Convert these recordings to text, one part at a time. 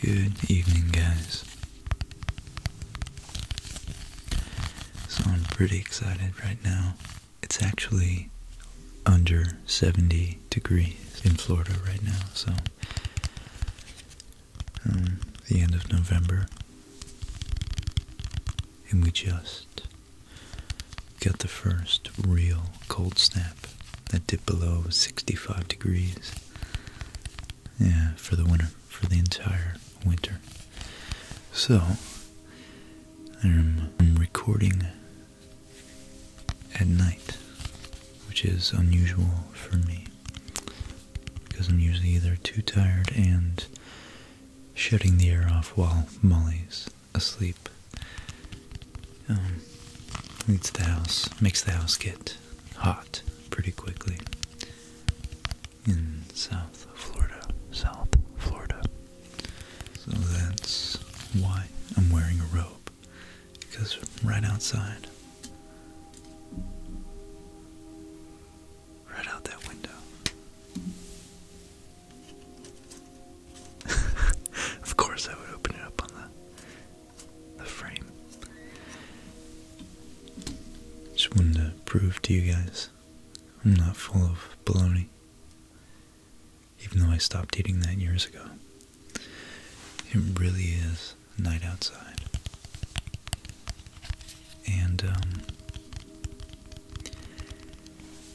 Good evening, guys. So I'm pretty excited right now. It's actually under 70 degrees in Florida right now, so um, the end of November, and we just got the first real cold snap that dip below 65 degrees. Yeah, for the winter, for the entire winter. So, I'm, recording at night, which is unusual for me because I'm usually either too tired and shutting the air off while Molly's asleep. Um, leads the house, makes the house get hot pretty quickly in South Florida, South Florida. So that's why I'm wearing a robe, because right outside, right out that window. of course, I would open it up on the the frame. Just wanted to prove to you guys I'm not full of baloney. Even though I stopped eating that years ago. It really is night outside. And, um,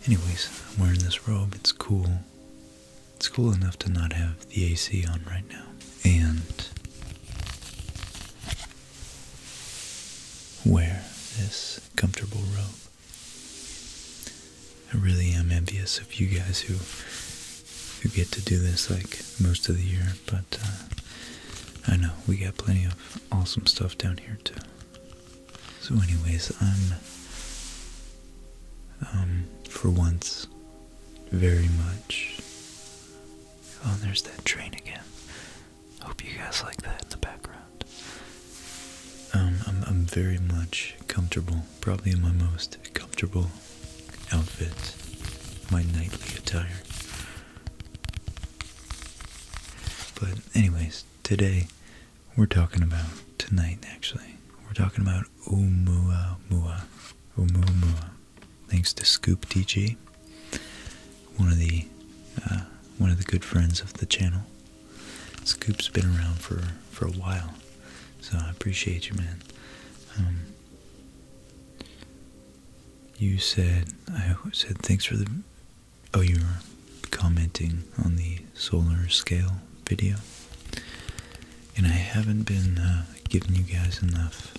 anyways, I'm wearing this robe. It's cool. It's cool enough to not have the AC on right now. And wear this comfortable robe. I really am envious of you guys who who get to do this like most of the year, but uh, I know we got plenty of awesome stuff down here too. So, anyways, I'm um, for once very much. Oh, there's that train again. Hope you guys like that in the background. Um, I'm, I'm very much comfortable, probably in my most comfortable outfit, my nightly attire. But anyways, today we're talking about, tonight actually, we're talking about Oumuamua. Oumuamua. Thanks to Scoop DG, one of the uh, one of the good friends of the channel. Scoop's been around for for a while, so I appreciate you, man. Um, you said I said thanks for the. Oh, you were commenting on the solar scale video and I haven't been uh, giving you guys enough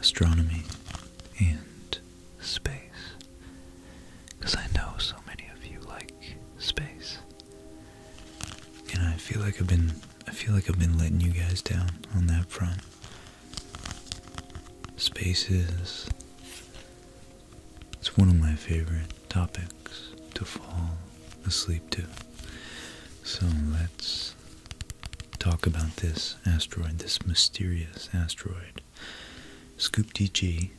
astronomy and space. Because I know so many of you like space. And I feel like I've been I feel like I've been letting you guys down on that front. Space is it's one of my favorite topics to fall asleep to. So let's talk about this asteroid, this mysterious asteroid. Scoop DG.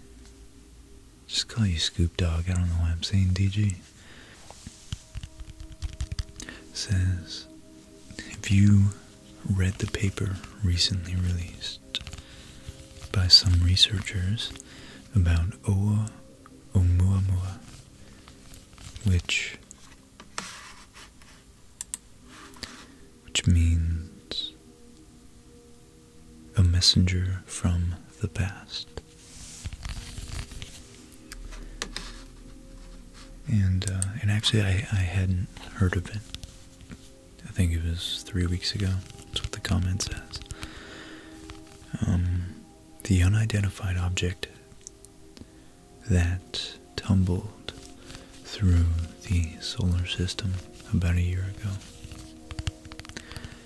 Just call you Scoop Dog. I don't know why I'm saying DG. Says, have you read the paper recently released by some researchers about Oa Oumuamua, which which means a messenger from the past. And uh, and actually, I, I hadn't heard of it. I think it was three weeks ago. That's what the comment says. Um, the unidentified object that tumbled through the solar system about a year ago.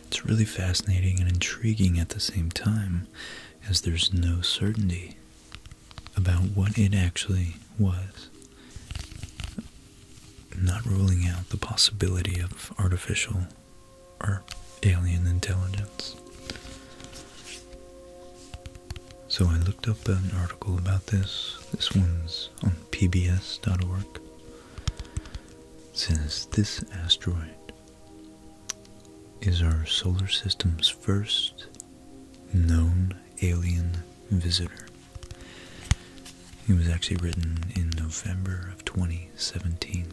It's really fascinating and intriguing at the same time, as there's no certainty about what it actually was. Not ruling out the possibility of artificial or alien intelligence. So I looked up an article about this. This one's on pbs.org. It says this asteroid is our solar system's first known alien visitor. It was actually written in November of 2017.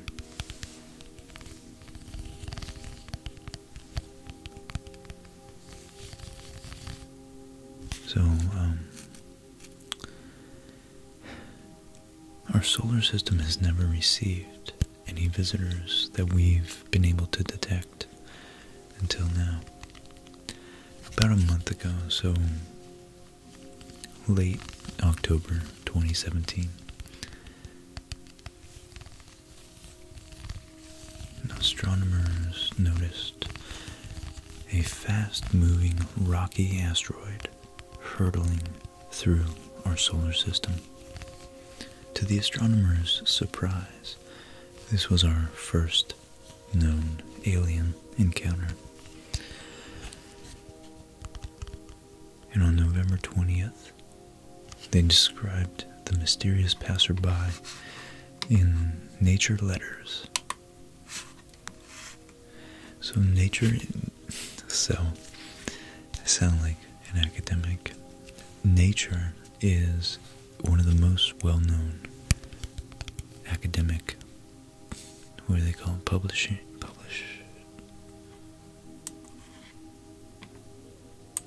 So, um, our solar system has never received any visitors that we've been able to detect until now. About a month ago, so late October 2017. Astronomers noticed a fast moving rocky asteroid hurtling through our solar system. To the astronomers' surprise, this was our first known alien encounter and on November 20th, they described the mysterious passerby in Nature Letters. So, Nature. So, I sound like an academic. Nature is one of the most well known academic what do they call them? Publishing, publish,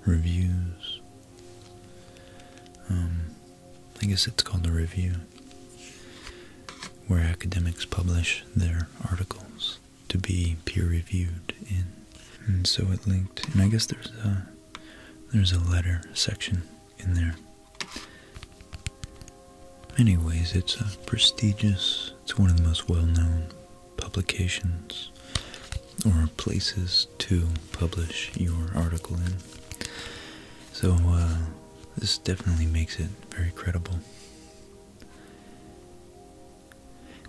reviews. Um, I guess it's called a review, where academics publish their articles to be peer reviewed in. And so it linked, and I guess there's a there's a letter section in there Anyways, it's a uh, prestigious, it's one of the most well-known publications or places to publish your article in. So uh, this definitely makes it very credible.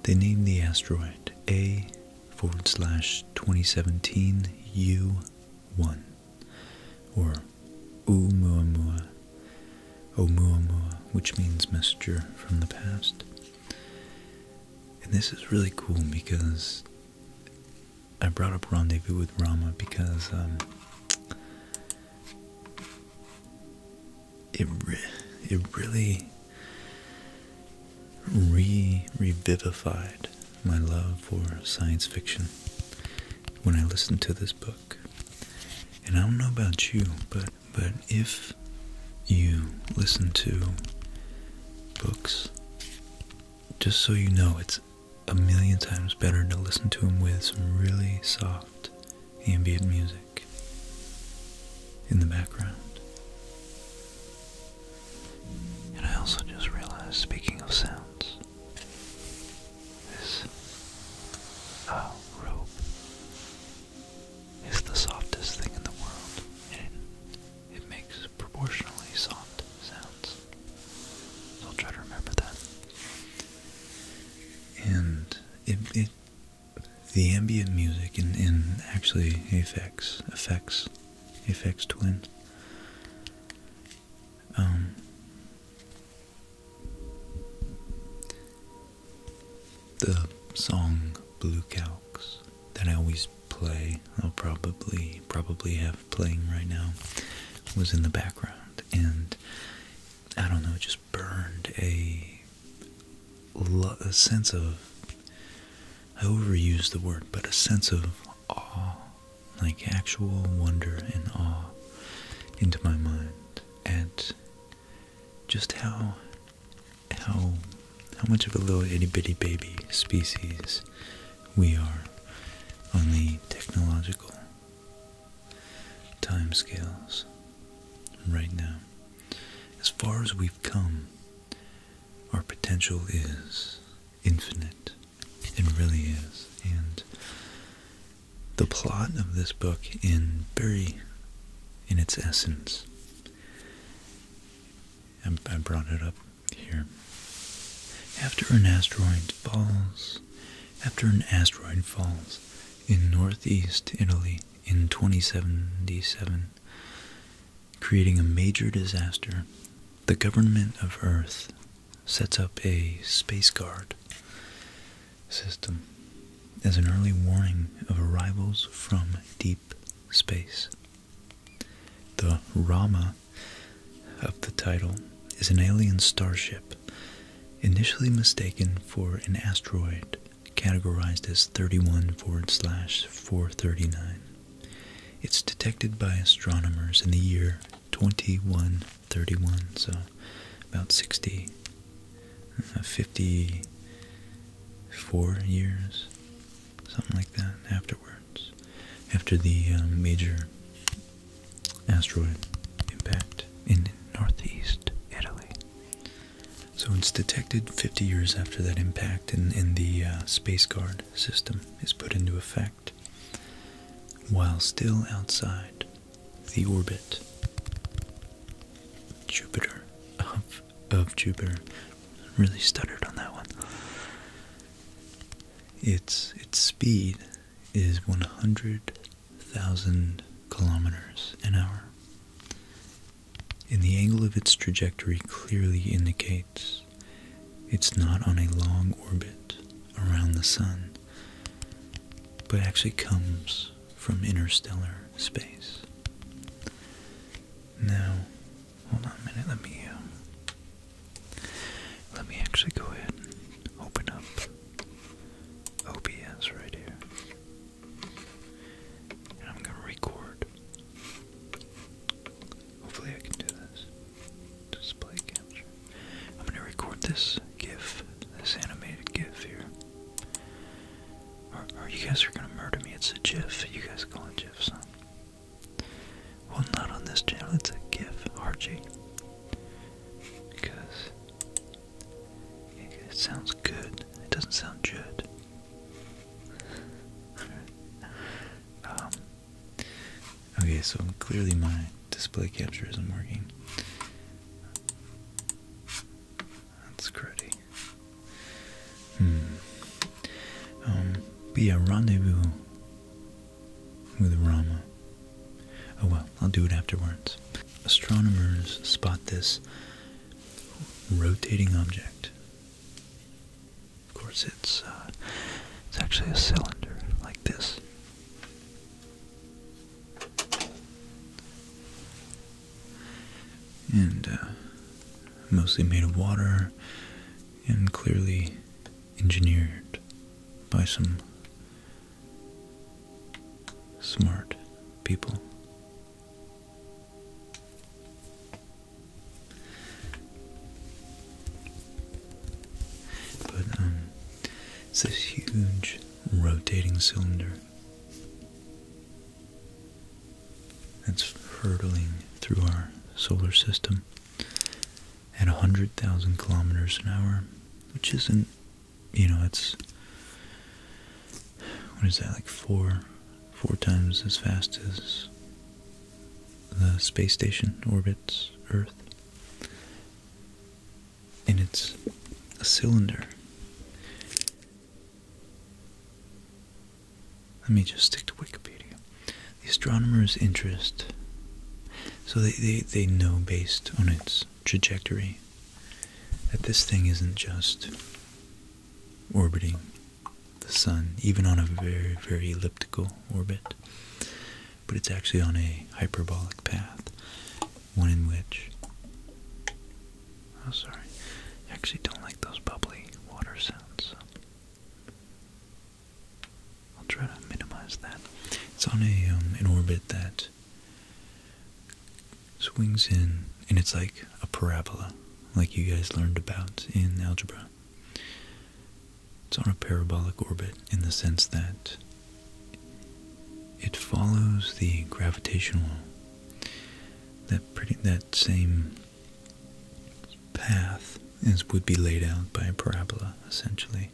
They named the asteroid A forward slash 2017 U1 or Oumuamua, Oumuamua, oh, which means messenger from the past. And this is really cool because I brought up Rendezvous with Rama because um, it it really re revivified my love for science fiction when I listened to this book. And I don't know about you, but but if you listen to books, just so you know, it's a million times better to listen to them with some really soft ambient music in the background. And I also just realized, speaking of sounds, this uh, is the softest thing in the world, and it makes proportionally soft sounds. I'll try to remember that. And it, the ambient music and, actually effects effects effects twin um, the song Blue Calcs that I always play, I'll probably probably have playing right now, was in the background and I don't know, it just burned a, a sense of I overuse the word, but a sense of awe, like actual wonder and awe into my mind at just how how how much of a little itty bitty baby species we are on the technological timescales right now. As far as we've come, our potential is infinite. It really is. And the plot of this book in very in its essence. I brought it up here. After an asteroid falls, after an asteroid falls in northeast Italy in 2077, creating a major disaster, the government of Earth sets up a space guard system as an early warning of arrivals from deep space. The Rama of the title is an alien starship initially mistaken for an asteroid categorized as 31 forward slash 439. It's detected by astronomers in the year 21 31, so about 60, uh, 54 years, something like that, afterwards, after the um, major asteroid impact in northeast Italy. So it's detected 50 years after that impact, and, and the uh, space guard system is put into effect while still outside the orbit Jupiter of of Jupiter. Really stuttered on that one. Its its speed is one hundred thousand kilometers an hour. And the angle of its trajectory clearly indicates it's not on a long orbit around the sun but actually comes from interstellar space. Now, hold on a minute. Let me uh, let me actually go ahead and open up OBS right here, I'm gonna record. Hopefully, I can do this. Display capture. I'm gonna record this GIF, this animated GIF here. Or, you guys are gonna murder me. It's a GIF. You guys call it GIFs, huh? Well, not on this channel. It's a GIF, Archie, Because it, sounds good. It doesn't sound good. Um, okay, so I'm clearly mine display capture isn't working. That's cruddy. Hmm. Um, but yeah, rendezvous with Rama. Oh well, I'll do it afterwards. Astronomers spot this rotating object. Of course, it's uh, it's actually a cylinder like this and uh, mostly made of water and clearly engineered by some smart people. But um, it's this huge rotating cylinder that's hurtling through our solar system at 100,000 kilometers an hour, which isn't, you know, it's, what is that, like four, four times as fast as the space station orbits Earth and it's a cylinder. Let me just stick to Wikipedia. The astronomer's interest, so they, they, they know based on its trajectory that this thing isn't just orbiting the sun, even on a very, very elliptical orbit but it's actually on a hyperbolic path, one in which. Oh, sorry. I actually don't like those bubbly water sounds. I'll try to minimize that. It's on a um, an orbit that swings in, and it's like a parabola, like you guys learned about in algebra. It's on a parabolic orbit in the sense that it follows the gravitational that pretty that same path as would be laid out by a parabola essentially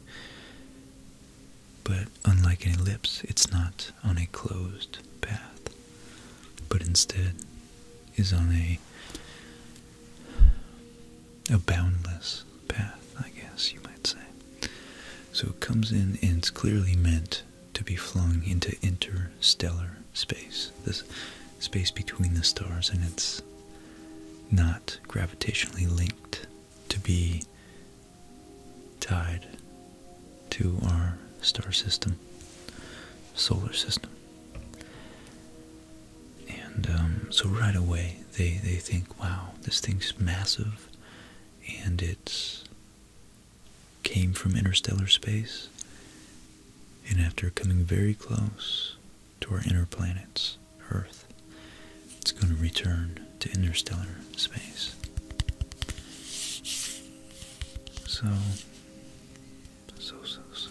but unlike an ellipse it's not on a closed path but instead is on a a boundless path, I guess you might say. So it comes in and it's clearly meant to be flung into interstellar space, this space between the stars, and it's not gravitationally linked to be tied to our star system, solar system. And um, so right away, they they think, wow, this thing's massive, and it's came from interstellar space, and after coming very close to our inner planets, Earth, it's going to return to interstellar space. So, so, so, so.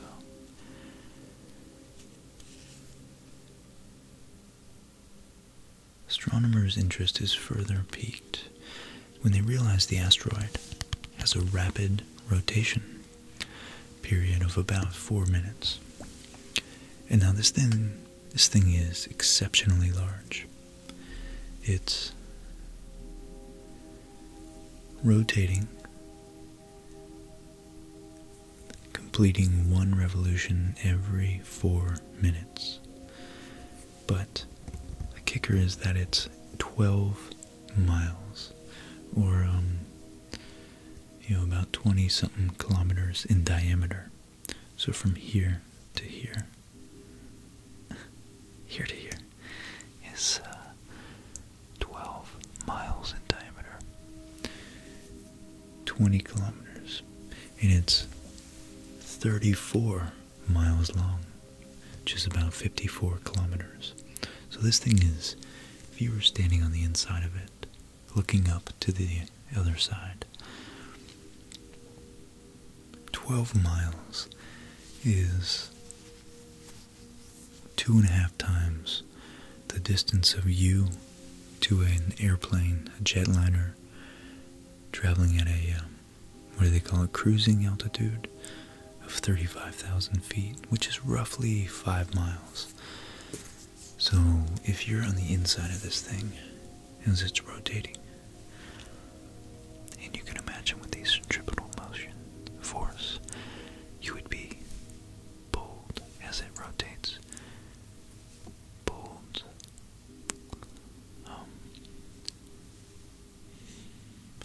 Astronomers' interest is further piqued when they realize the asteroid has a rapid rotation period of about four minutes. And now this thing this thing is exceptionally large. It's rotating completing one revolution every four minutes. But the kicker is that it's 12 miles, or, um, you know, about 20 something kilometers in diameter. So from here to here, here to here, is uh, 12 miles in diameter. 20 kilometers and it's 34 miles long, which is about 54 kilometers. So this thing is, if you were standing on the inside of it, looking up to the other side, 12 miles is two and a half times the distance of you to an airplane, a jetliner, traveling at a, um, what do they call it, cruising altitude of 35,000 feet, which is roughly 5 miles. So if you're on the inside of this thing as it's rotating, and you can imagine with the centripetal motion force, you would be pulled as it rotates um,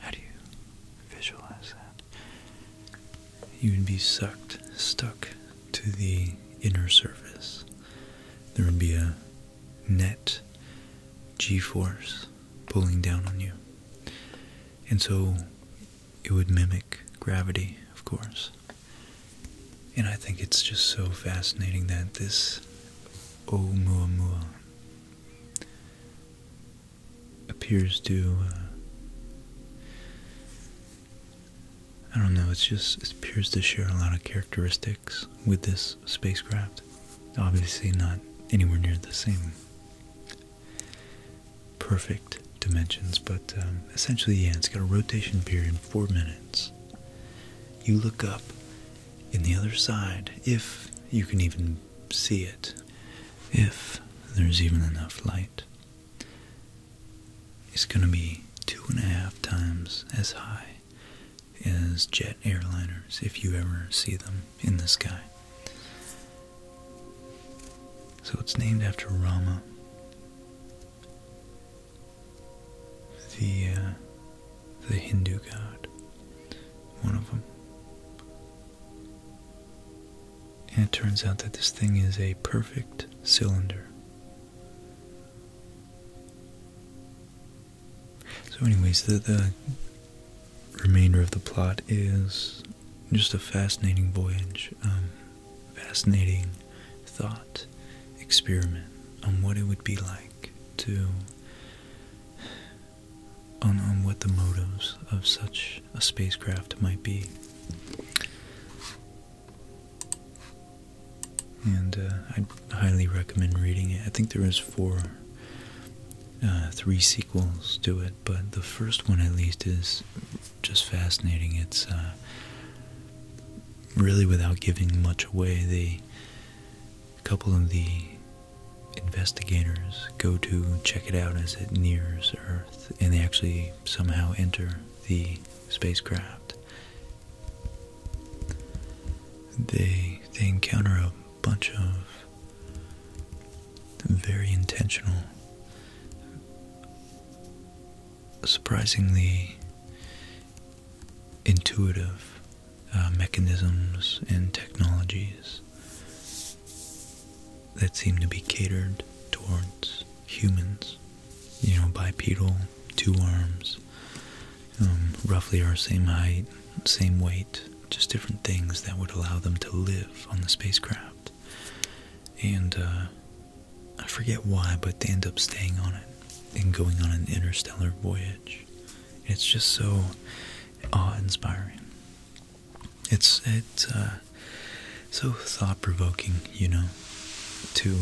how do you visualize that? You would be sucked, stuck to the inner surface. There would be a net g force pulling down on you. And so it would mimic gravity, of course. And I think it's just so fascinating that this Oumuamua appears to, uh, I don't know, it's just, appears to share a lot of characteristics with this spacecraft. Obviously not anywhere near the same perfect dimensions, but um, essentially, yeah, it's got a rotation period of four minutes. You look up in the other side, if you can even see it, if there's even enough light, it's going to be two and a half times as high as jet airliners if you ever see them in the sky. So it's named after Rama, the uh, the Hindu god, one of them. And it turns out that this thing is a perfect cylinder. So, anyways, the, the remainder of the plot is just a fascinating voyage, um, fascinating thought experiment on what it would be like to on, on what the motives of such a spacecraft might be. And uh, I highly recommend reading it. I think there is four, uh, three sequels to it, but the first one at least is just fascinating. It's uh, really without giving much away. The couple of the investigators go to check it out as it nears Earth, and they actually somehow enter the spacecraft. They they encounter a bunch of very intentional surprisingly intuitive uh, mechanisms and technologies that seem to be catered towards humans. You know, bipedal, two arms, um, roughly our same height, same weight, just different things that would allow them to live on the spacecraft and uh, I forget why, but they end up staying on it and going on an interstellar voyage. It's just so awe-inspiring. It's it's uh, so thought-provoking, you know, to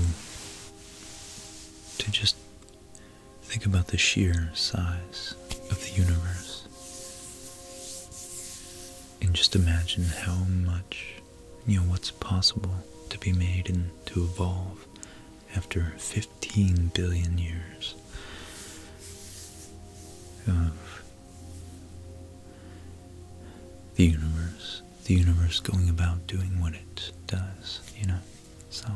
to just think about the sheer size of the universe and just imagine how much you know, what's possible to be made and to evolve after 15 billion years of the universe, the universe going about doing what it does, you know. So,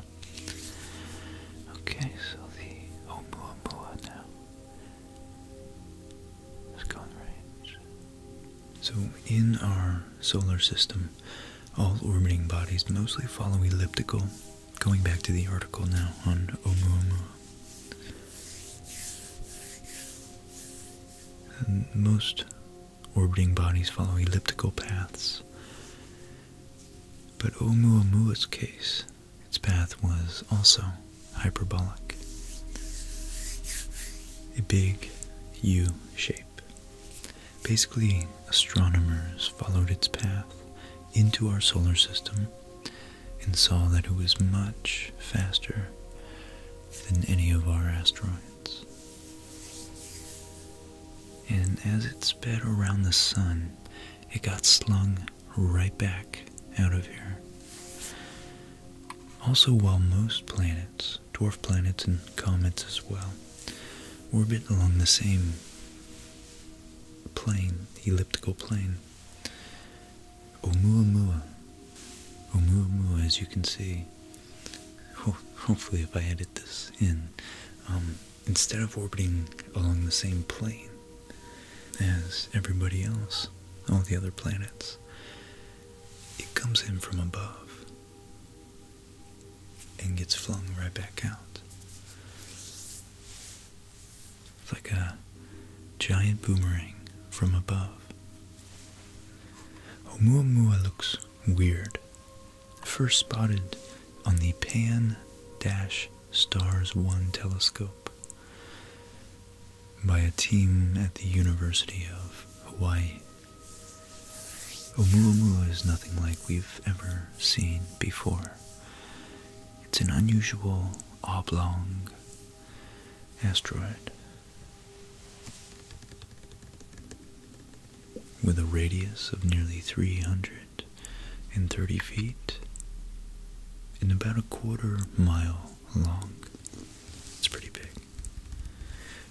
okay, so the Oumuamua now is going right. So, in our solar system, all orbiting bodies mostly follow elliptical, going back to the article now on Oumuamua. most orbiting bodies follow elliptical paths, but Oumuamua's case, its path was also hyperbolic a big U shape. Basically, astronomers followed its path into our solar system and saw that it was much faster than any of our asteroids. And as it sped around the sun, it got slung right back out of here. Also, while most planets, dwarf planets and comets as well, orbit along the same plane, elliptical plane, Oumuamua, Oumuamua, as you can see, hopefully if I edit this in, um, instead of orbiting along the same plane as everybody else, all the other planets, it comes in from above and gets flung right back out. It's like a giant boomerang from above. Oumuamua looks weird. First spotted on the Pan Dash Stars 1 telescope by a team at the University of Hawaii. Oumuamua is nothing like we've ever seen before. It's an unusual oblong asteroid with a radius of nearly 330 feet and about a quarter mile long. It's pretty big.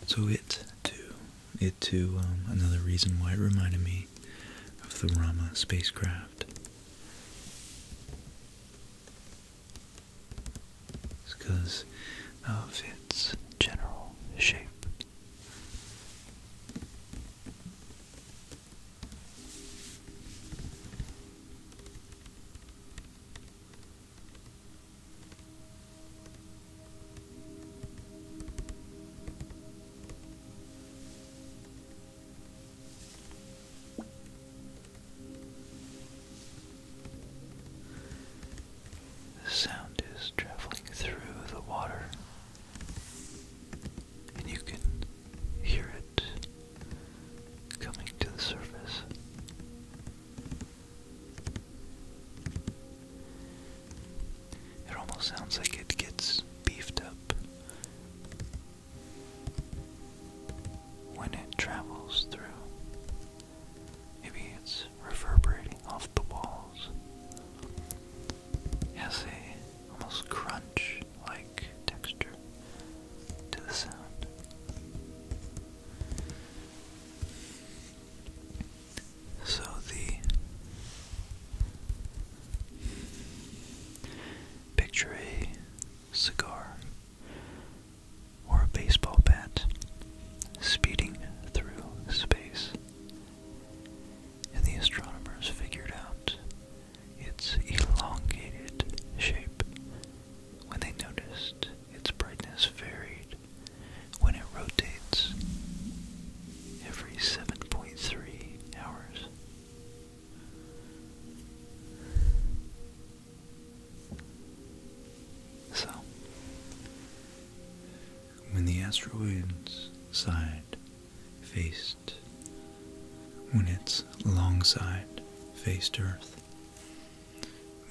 So it too, it too, um, another reason why it reminded me of the Rama spacecraft. It's because of its general shape. The sound is traveling through the water, and you can hear it coming to the surface. It almost sounds like it gets beefed up when it travels through. Maybe it's reverberating off the walls. It a almost crunch like texture to the sound. So the picture a cigar or a baseball bat speeding through space, and the astronomers figured out its elongated shape when they noticed its brightness varied when it rotates every 7.3 hours. So, when the asteroid's side faced, when its long side faced Earth,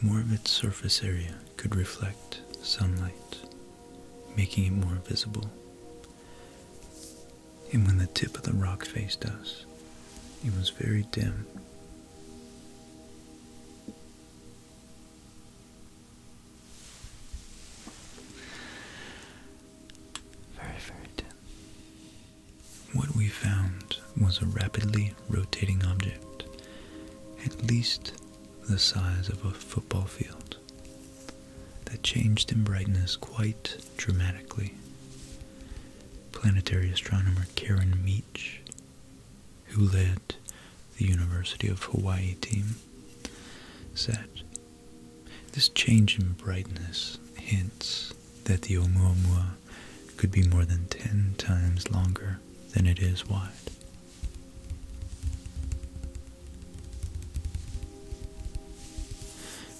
more of its surface area could reflect sunlight, making it more visible. And when the tip of the rock faced us, it was very dim. Very, very dim. What we found was a rapidly rotating object, at least the size of a football field, that changed in brightness quite dramatically. Planetary astronomer Karen Meach, who led the University of Hawaii team, said, This change in brightness hints that the Oumuamua could be more than 10 times longer than it is wide.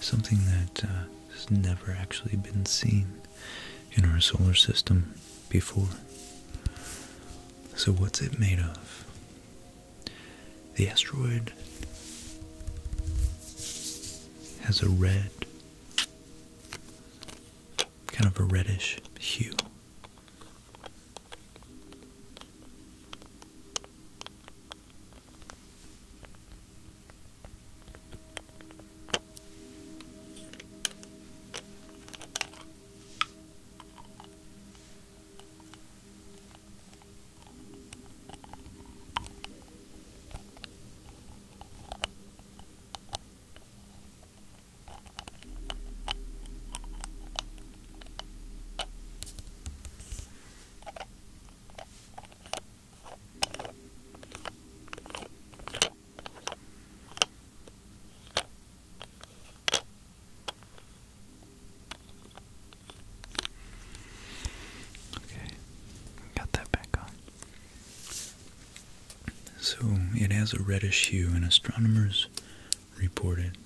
Something that uh, has never actually been seen in our solar system before. So, what's it made of? The asteroid has a red kind of a reddish hue. Okay, got that back on. So it has a reddish hue, and astronomers reported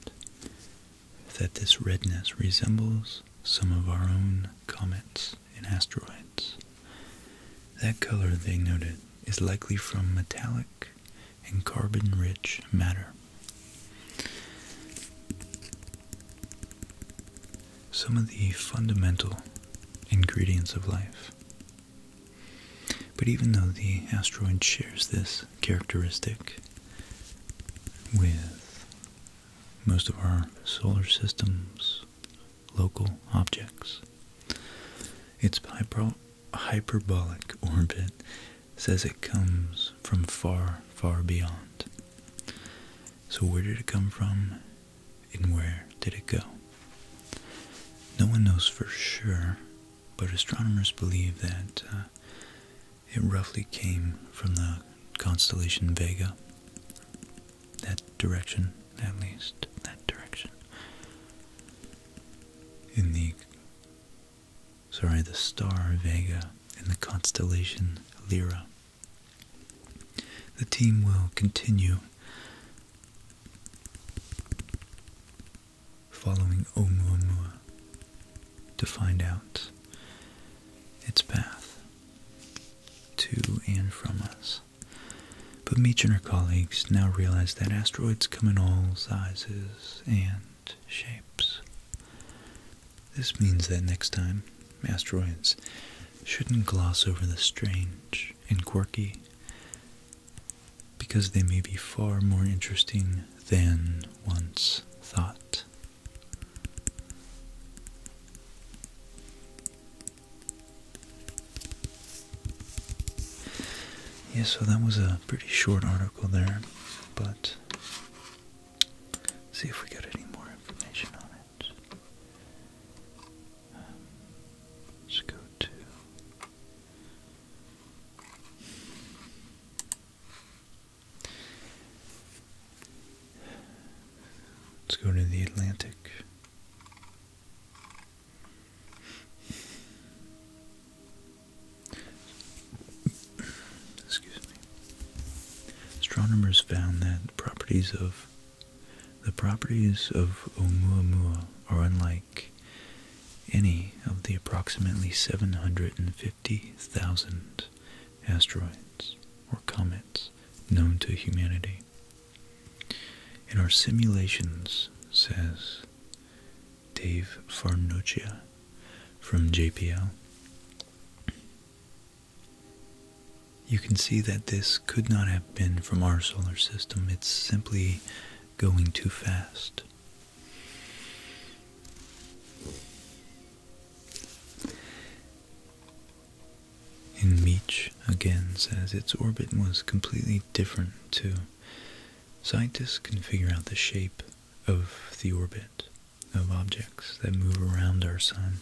that this redness resembles some of our own comets and asteroids. That color, they noted, is likely from metallic and carbon rich matter some of the fundamental ingredients of life. But even though the asteroid shares this characteristic with most of our solar system's local objects, its hyperbolic orbit says it comes from far, far beyond. So, where did it come from and where did it go? No one knows for sure, but astronomers believe that uh, it roughly came from the constellation Vega. That direction, at least, that direction. In the, sorry, the star Vega in the constellation Lyra. The team will continue following Oumuamua to find out its path to and from us. But Meach and her colleagues now realize that asteroids come in all sizes and shapes. This means that next time, asteroids shouldn't gloss over the strange and quirky because they may be far more interesting than once thought. Yeah, so that was a pretty short article there, but see if we get any more information on it let's go to. Let's go to the Atlantic. Excuse me. Astronomers found that the properties of the properties of Oumuamua are unlike any of the approximately 750,000 asteroids or comets known to humanity. In our simulations, says Dave Farnuccia from JPL, you can see that this could not have been from our solar system. It's simply going too fast. And Meech again says its orbit was completely different too. Scientists can figure out the shape of the orbit of objects that move around our sun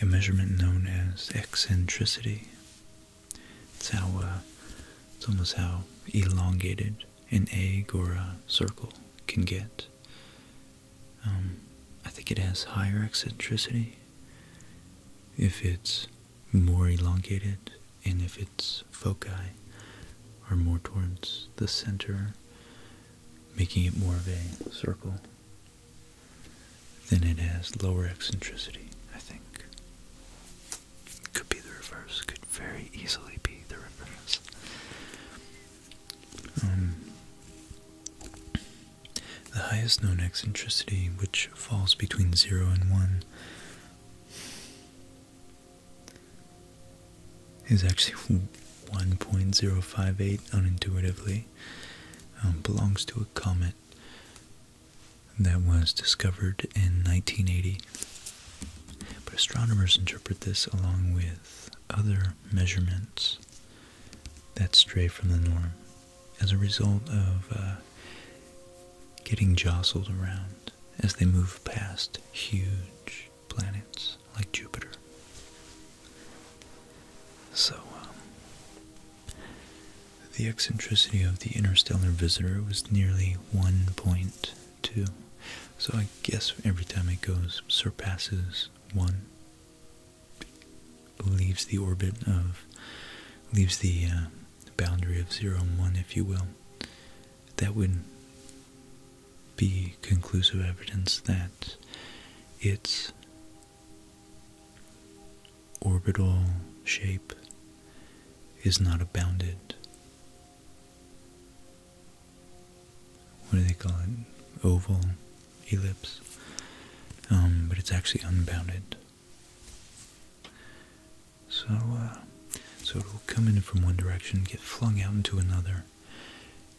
a measurement known as eccentricity. It's how uh, it's almost how elongated an egg or a circle can get. Um, I think it has higher eccentricity if it's more elongated and if its foci are more towards the center, making it more of a circle then it has lower eccentricity, I think. Could be the reverse, could very easily be the reverse. Um, the highest known eccentricity, which falls between 0 and 1, is actually 1.058 unintuitively um, belongs to a comet that was discovered in 1980. But astronomers interpret this along with other measurements that stray from the norm as a result of uh, getting jostled around as they move past huge planets like Jupiter. So, um, the eccentricity of the interstellar visitor was nearly 1.2. So I guess every time it goes, surpasses 1, leaves the orbit of, leaves the uh, boundary of 0 and 1, if you will. That would be conclusive evidence that its orbital shape is not bounded. What do they call it? Oval, ellipse. Um, but it's actually unbounded. So, uh, so it'll come in from one direction, get flung out into another,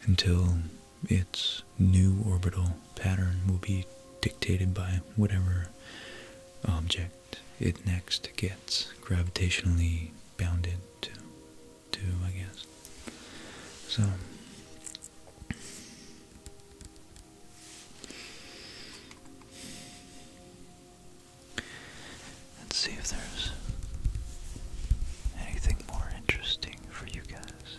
until its new orbital pattern will be dictated by whatever object it next gets gravitationally bounded to, to I guess. So, let's see if there's anything more interesting for you guys.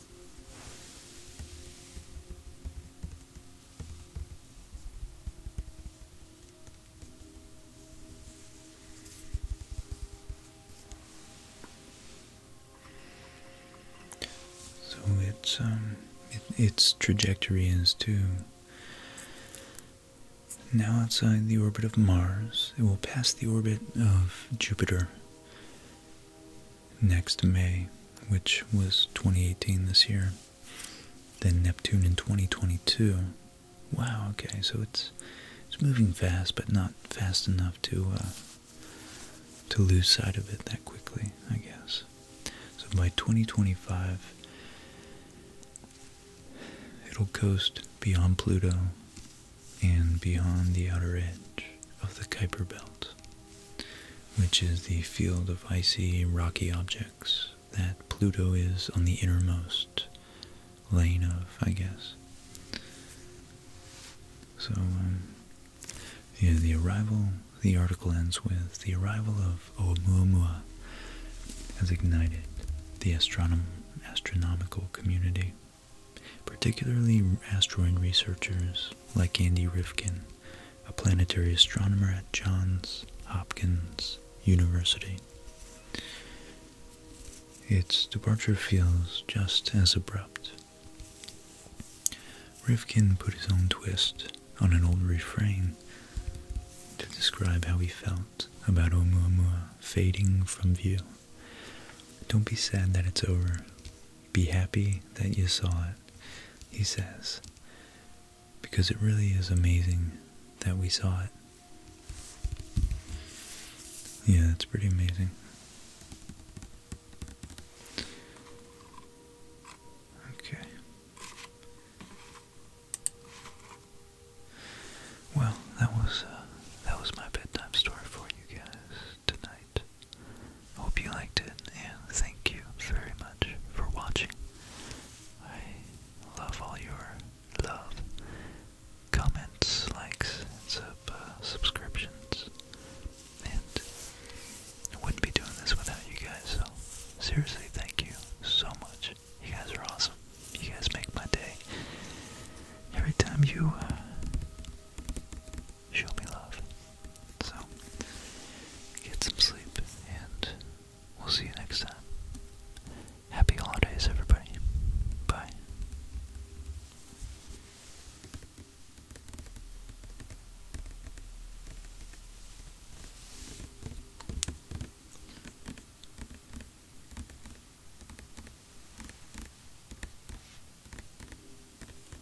So it's um, its trajectory is to now outside the orbit of Mars, it will pass the orbit of Jupiter next May, which was 2018 this year. Then Neptune in 2022. Wow. Okay, so it's it's moving fast, but not fast enough to uh, to lose sight of it that quickly, I guess. So by 2025, it'll coast beyond Pluto and beyond the outer edge of the Kuiper Belt which is the field of icy, rocky objects that Pluto is on the innermost lane of, I guess. So, um, yeah, the arrival, the article ends with, the arrival of Oumuamua has ignited the astronom astronomical community, particularly asteroid researchers like Andy Rifkin, a planetary astronomer at Johns Hopkins University. Its departure feels just as abrupt. Rifkin put his own twist on an old refrain to describe how he felt about Oumuamua fading from view. Don't be sad that it's over. Be happy that you saw it, he says, because it really is amazing that we saw it. Yeah, it's pretty amazing. Okay. Well, that was uh, that was my bedtime story for you guys tonight. Hope you liked it, and thank you very much for watching. I love all your love, comments, likes, and uh, subscriptions. And I wouldn't be doing this without you guys, so seriously, thank you so much. You guys are awesome. You guys make my day. Every time you uh, show me love. So, get some sleep, and we'll see you next time. Happy holidays, everybody. Bye.